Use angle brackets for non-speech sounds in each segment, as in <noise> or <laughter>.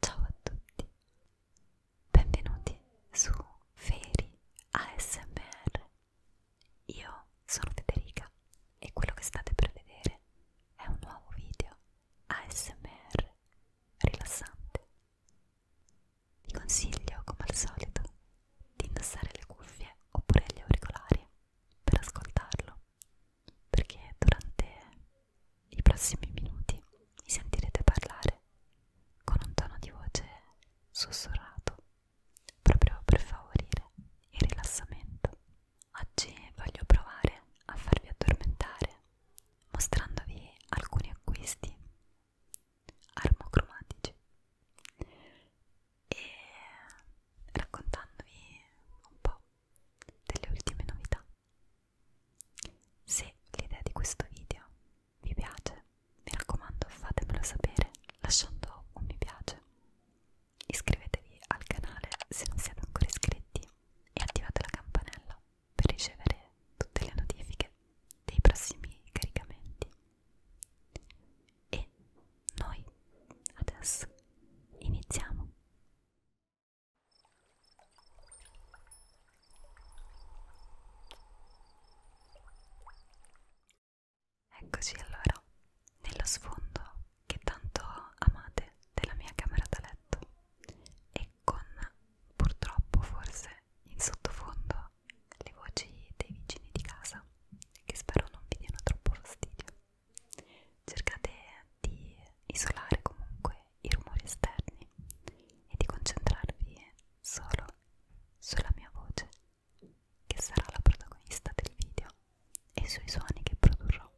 Ciao a tutti, benvenuti su Feri ASMR. Io sono Federica e quello che state per vedere è un nuovo video ASMR rilassante. Vi consiglio, come al solito, di indossare le cuffie oppure gli auricolari per ascoltarlo perché durante i prossimi minuti mi sentirete parlare con un tono di voce sussurrato proprio per favorire il rilassamento. Oggi voglio provare a farvi addormentare mostrandovi alcuni acquisti armocromatici e raccontandovi un po' delle ultime novità. Se l'idea di questo video vi piace, mi raccomando fatemelo sapere lasciando un mi piace. Iscrivetevi al canale se non siete ancora iscritti e attivate la campanella per ricevere tutte le notifiche dei prossimi caricamenti. E noi adesso iniziamo. Eccoci allora nello sfondo che tanto amate della mia camera da letto e con purtroppo forse in sottofondo le voci dei vicini di casa che spero non vi diano troppo fastidio. Cercate di isolare comunque i rumori esterni e di concentrarvi solo sulla mia voce, che sarà la protagonista del video, e sui suoni che produrrò.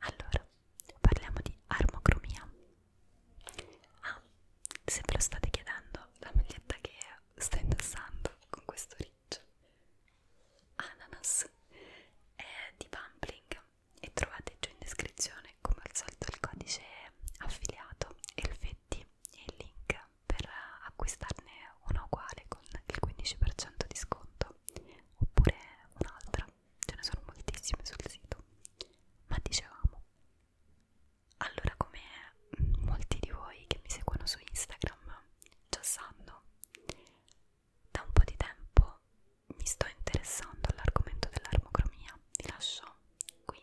Allora, parliamo di armocromia. Ah, se ve lo state chiedendo, la maglietta che sto indossando con questo peach ananas e di Bumbling e trovate giù in descrizione come al solito il codice affiliato Elfetti e il link per acquistarne una uguale con il 15% di sconto oppure un'altra ce ne sono moltissime sul sito ma dicevamo allora come molti di voi che mi seguono su Instagram già sanno da un po' di tempo mi sto interessando all'argomento dell'armocromia. Vi lascio qui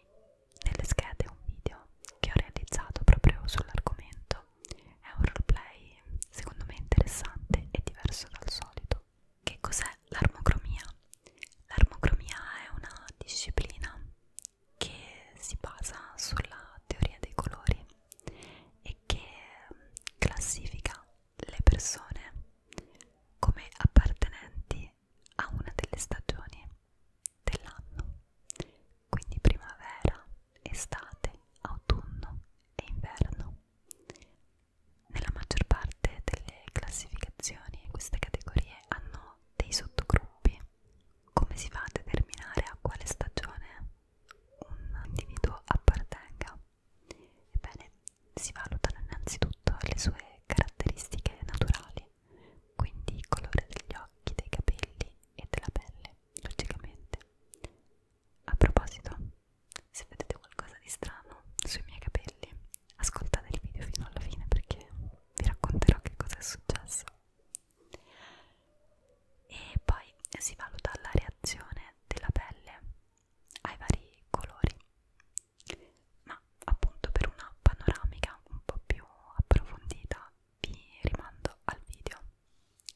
nelle schede un video che ho realizzato proprio sull'argomento. È un roleplay secondo me interessante e diverso dal solito. Che cos'è l'armocromia? L'armocromia è una disciplina che si basa sulla teoria dei colori e che mm, classifica le persone come appartenenti a una delle stagioni dell'anno, quindi primavera, estate, autunno e inverno. Nella maggior parte delle classificazioni queste categorie hanno dei sottogruppi. Come si fa a determinare a quale stagione un individuo appartenga. Ebbene, si valutano innanzitutto le sue caratteristiche naturali, quindi il colore degli occhi, dei capelli e della pelle, logicamente. A proposito, se vedete qualcosa di strano sui miei capelli, ascoltate il video fino alla fine perché vi racconterò che cosa è successo e poi si valuta la reazione della pelle ai vari colori ma appunto per una panoramica un po' più approfondita vi rimando al video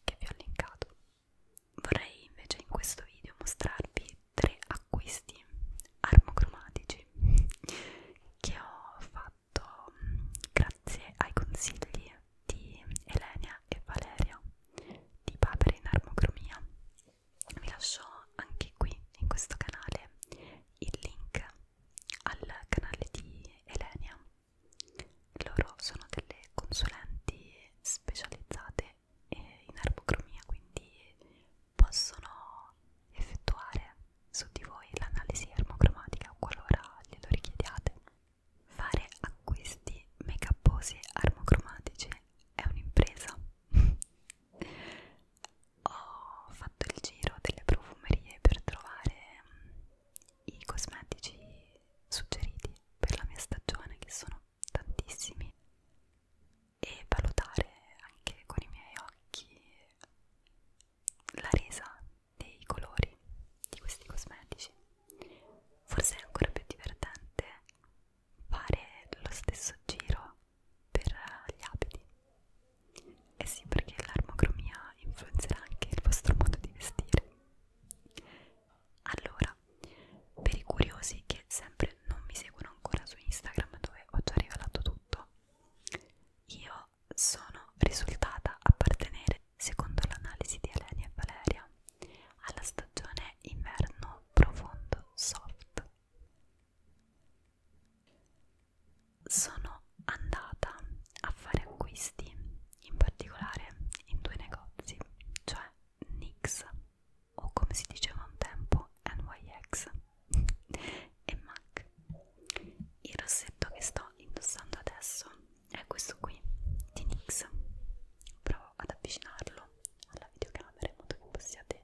che vi ho linkato vorrei invece in questo video mostrarvi tre acquisti armocromatici che ho fatto mm, grazie ai consigli di Elenia e Valeria di Papere in Armocromia. Vi lascio anche qui in questo canale il link al canale di Elenia. Loro sono delle consulenti specializzate in armocromia, quindi possono effettuare su di voi l'analisi armocromatica qualora glielo richiediate. Fare acquisti make uposi armocromatici è un'impresa. <laughs> Ho fatto il giro delle profumerie per trovare mm, i cosmetici suggeriti per la mia stagione, che sono tantissimi, e valutare anche con i miei occhi la resa dei colori di questi cosmetici Forse è ancora più divertente fare lo stesso giro per gli abiti. Eh sì, perché l'armocromia influenzerà anche il vostro modo di vestire. Allora, per i curiosi che sempre non mi seguono ancora su Instagram dove ho già rivelato tutto, io sono risultata appartenere Secondo l'analisi di Eleni e Valeria, alla stagione inverno profondo soft. Sono andata a fare acquisti, in particolare in due negozi, cioè NYX o come si diceva un tempo NYX <laughs> e MAC. Il rossetto che sto indossando adesso è questo qui di NYX provo ad avvicinarlo alla videocamera in modo che possiate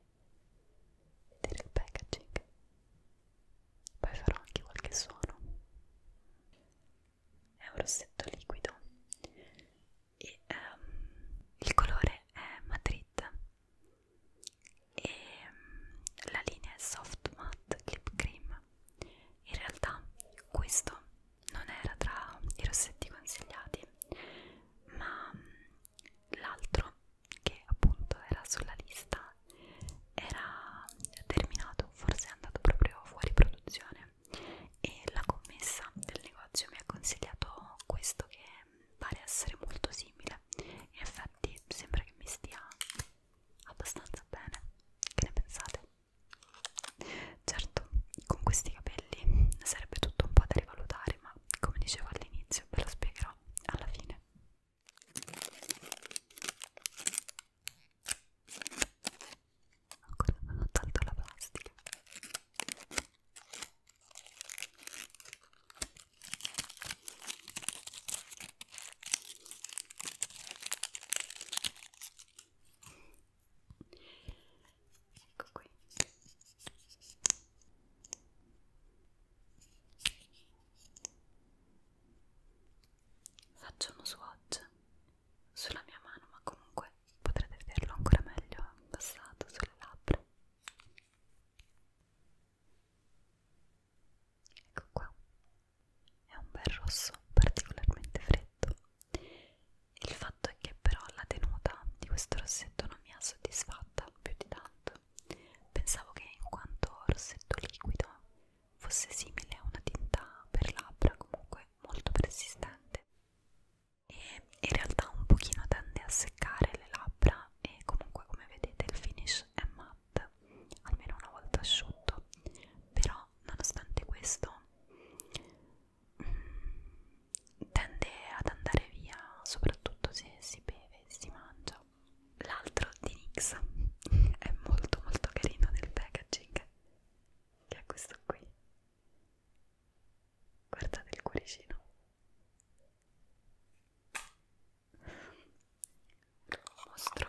vedere il packaging poi farò anche qualche suono è un rossetto liquido e um, il colore è Madrid e um, la linea è soft matte lip cream in realtà questo non era tra i rossetti consigliati ma l'altro che appunto era sulla lista era terminato forse è andato proprio fuori produzione e la commessa del negozio mi ha consigliato questo che pare essere molto simile e infatti sembra che mi stia abbastanza bene che ne pensate? Certo, con questi capelli sarebbe tutto un po' da rivalutare, ma come dicevo all'inizio ve lo spiegherò alla fine. Ancora non ho tolto la plastica ecco qui faccio uno swatch sulla mia mano ma comunque potrete vederlo ancora meglio passato sulle labbra ecco qua è un bel rosso particolarmente freddo. Il fatto è che però la tenuta di questo rossetto non mi ha soddisfatta più di tanto. Pensavo che in quanto rossetto liquido fosse simile a una tinta per labbra comunque molto persistente e in realtà un pochino tende a seccare le labbra e comunque come vedete il finish è matte almeno una volta asciutto però nonostante questo mm, tende ad andare via soprattutto se si beve e si mangia l'altro di Nix <laughs> è molto molto carino nel packaging che è questo qui guardate il cuoricino lo mostro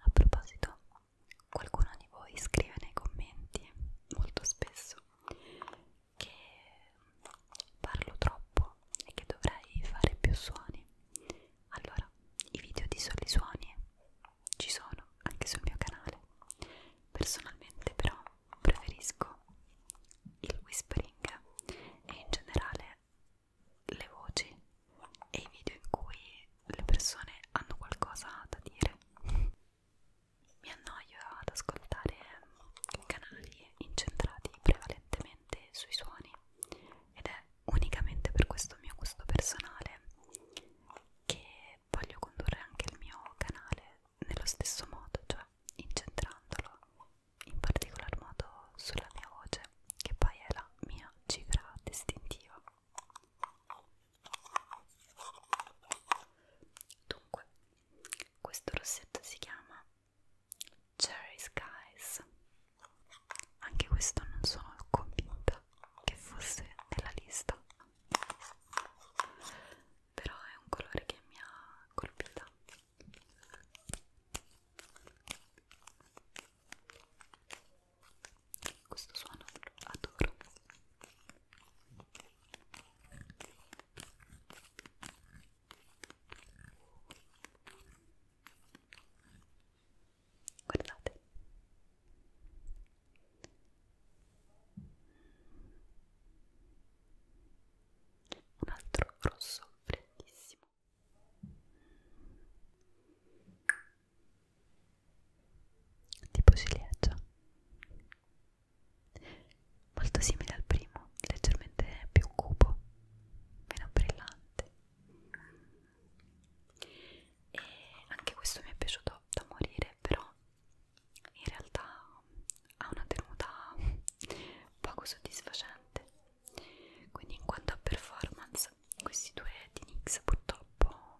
a proposito, qualcuno di voi scrive nei commenti molto spesso che parlo troppo e che dovrei fare più suoni. Allora, i video di soli suoni ci sono anche sul mio canale. Personalmente però preferisco il whispering e in generale le voci e i video in cui le persone hanno qualcosa da dire mi annoio ad ascoltare canali incentrati prevalentemente sui suoni ed è unicamente per questo mio gusto personale che voglio condurre anche il mio canale nello stesso modo, cioè incentrandolo in particolar modo sulla mia voce che poi è la mia cifra distintiva. Dunque, questo rossetto si chiama Cherry Skies anche questo non sono convinta che fosse nella lista però è un colore che mi ha colpita questo suono lo adoro Guardate. Un altro rosso freddissimo. Tipo ciliegia molto simile al primo, leggermente più cupo, meno brillante. E anche questo mi è piaciuto da morire, però in realtà ha una tenuta poco soddisfacente. Quindi, in quanto a performance, questi due di NYX purtroppo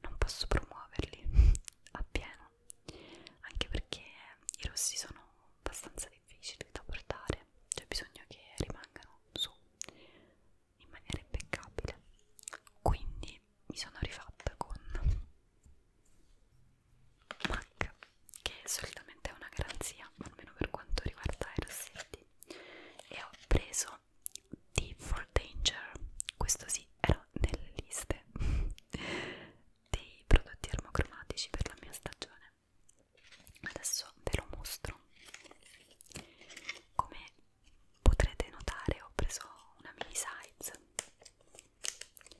non posso promuoverli <laughs> appieno no anche perché i rossi sono abbastanza difficili da portare c'è bisogno che rimangano su in maniera impeccabile quindi mi sono rifatta con MAC che solitamente è una garanzia almeno per quanto riguarda i rossetti e ho preso D for Danger questo sì era nelle liste dei prodotti armocromatici per la mia stagione adesso ve lo mostro come potrete notare ho preso una mini size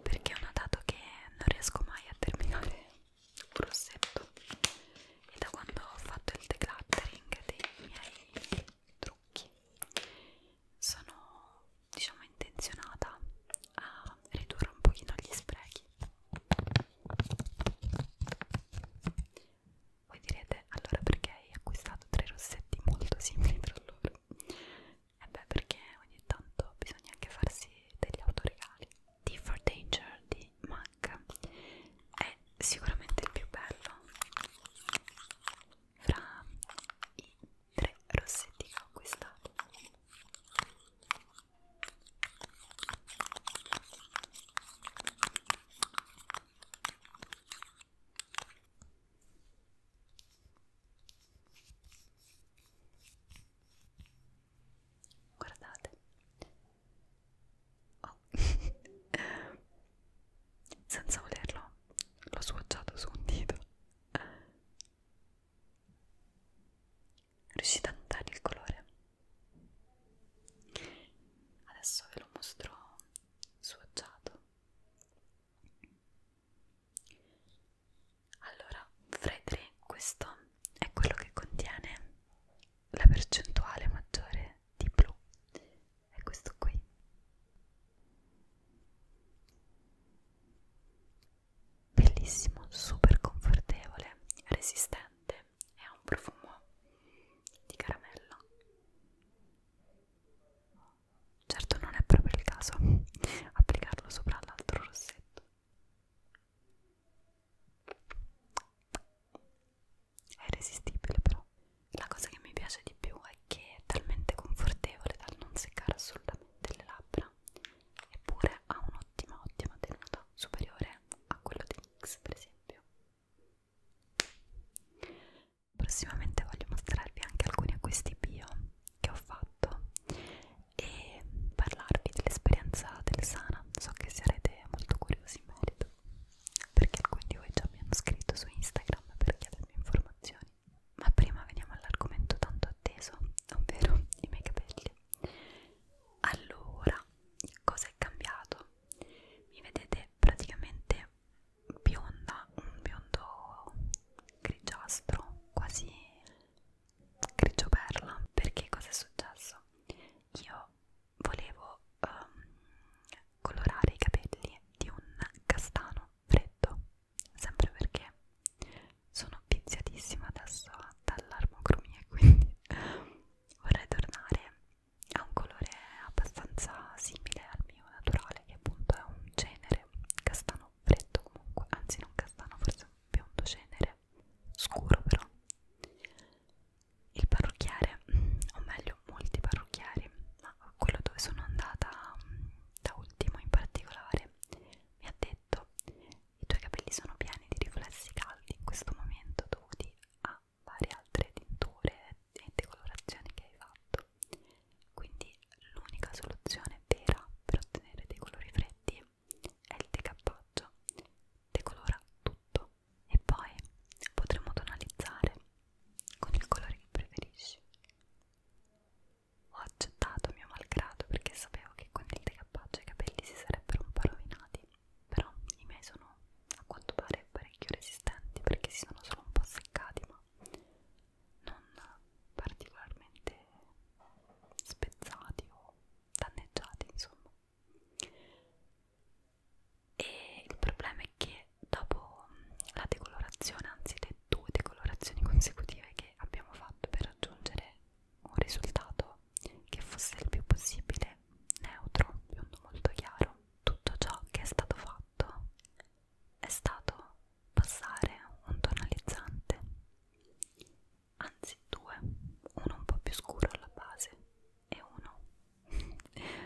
perché ho notato che non riesco mai a terminare un rossetto e da quando ho fatto il decluttering dei miei trucchi sono diciamo intenzionata a ridurre un pochino gli sprechi voi direte allora perché hai acquistato tre rossetti molto simili tra loro e beh perché ogni tanto bisogna anche farsi degli autoregali D for Danger di MAC è sicuramente il più bello fra i tre rossetti che ho acquistato Guardate, oh. <laughs> senza volerlo l'ho sfoggiato su un dito riuscite a notare il colore? adesso ve lo mostro swatchato allora fra i tre questo è quello che contiene la percentuale maggiore di blu è questo qui bellissimo, super confortevole, resistente e ha un profumo di caramello. Certo non è proprio il caso applicarlo sopra l'altro rossetto. È irresistibile però. La cosa che mi piace di più è che è talmente confortevole dal non seccare assolutamente delle labbra eppure ha un'ottima ottima tenuta superiore a quello di NYX per esempio prossimamente voglio mostrarvi anche alcuni acquisti bio che ho fatto e parlarvi dell'esperienza del Sana so che sarete molto curiosi in merito perché alcuni di voi già mi hanno scritto su Instagram per chiedermi informazioni ma prima veniamo all'argomento tanto atteso, ovvero i miei capelli. Allora, cosa è cambiato? Mi vedete praticamente bionda, un biondo grigiastro, quasi grigio perla. Perché cosa è successo? Io volevo um, colorare i capelli di un castano freddo sempre perché sono viziatissima adesso dall'armocromia <laughs> quindi vorrei tornare a un colore abbastanza simile al mio naturale che appunto è un cenere castano freddo comunque anzi non castano forse un biondo cenere scuro però il parrucchiere o meglio molti parrucchieri ma quello dove sono andata mm, da ultimo in particolare mi ha detto i tuoi capelli sono pieni di riflessi caldi in questo momento dovuti a varie altre tinture e decolorazioni che hai fatto quindi l'unica soluzione vera per ottenere dei colori freddi è il decappaggio decolora tutto e poi potremo tonalizzare con il colore che preferisci ho accettato mio malgrado perché sapevo che con il decappaccio i capelli si sarebbero un po' rovinati però i miei sono a quanto pare parecchio resistenti perché si sono solo un po' seccati ma non particolarmente spezzati o danneggiati insomma e il problema è che dopo la decolorazione anzi le due decolorazioni consecutive che abbiamo fatto per raggiungere un risultato che fosse il più possibile neutro, biondo molto chiaro. Tutto ciò che è stato fatto è stato passare un tonalizzante, anzi due, uno un po' più scuro alla base e uno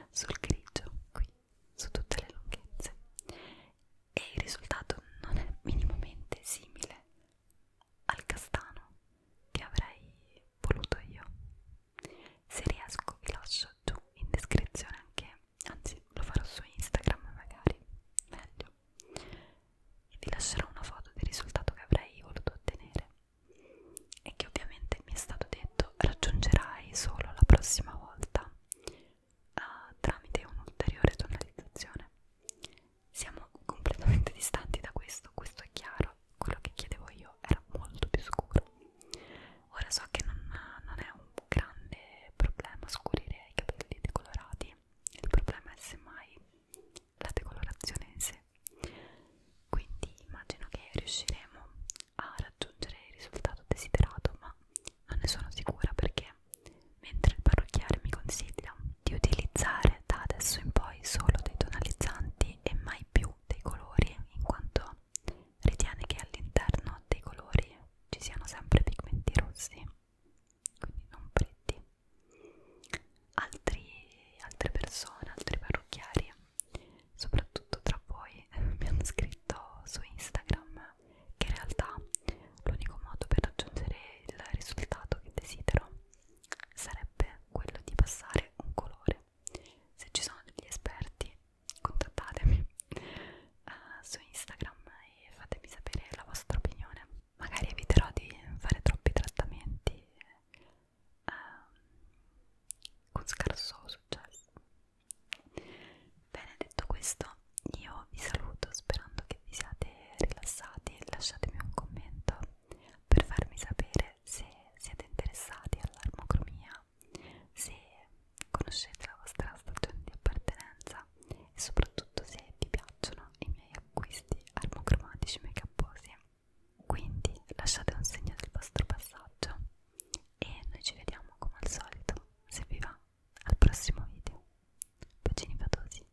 <laughs> sul grigio qui su tutte le lunghezze e il risultato non è minimamente simile al castano che avrei voluto io se riesco vi lascio giù in descrizione anche anzi lo farò su Instagram magari meglio e vi lascerò una foto del risultato che avrei voluto ottenere e che ovviamente mi è stato detto raggiungerai solo la prossima volta uh, tramite un'ulteriore tonalizzazione. Siamo completamente <laughs> distanti da questo, questo è chiaro, quello che chiedevo io era molto più scuro. Ora so che non, non è un grande problema scurire i capelli decolorati, il problema è semmai la decolorazione in sé. Quindi immagino che riusciremo a raggiungere il risultato desiderato, ma non ne sono sicura perché mentre il parrucchiere mi consiglia di utilizzare da adesso in poi solo dei tonalizzanti e mai più dei colori in quanto ritiene che all'interno dei colori ci siano sempre pigmenti rossi quindi non pretti Altri, altre persone, altri parrucchieri soprattutto tra voi <laughs> mi hanno scritto su Instagram che in realtà l'unico modo per raggiungere il risultato che desidero sarebbe quello di passare un colore. Se ci sono degli esperti, contattatemi uh, <laughs> su Instagram e fatemi sapere la vostra opinione. Magari eviterò di fare troppi trattamenti uh, con scarso successo. Bene, detto questo, io vi saluto sperando che vi siate rilassati. Lasciatemi un commento per farmi sapere se siete interessati all'armocromia, se conoscete la vostra stagione di appartenenza e soprattutto se vi piacciono i miei acquisti armocromatici make uposi. Quindi lasciate un segno del vostro passaggio e noi ci vediamo come al solito, se vi va al prossimo video bacini fatosi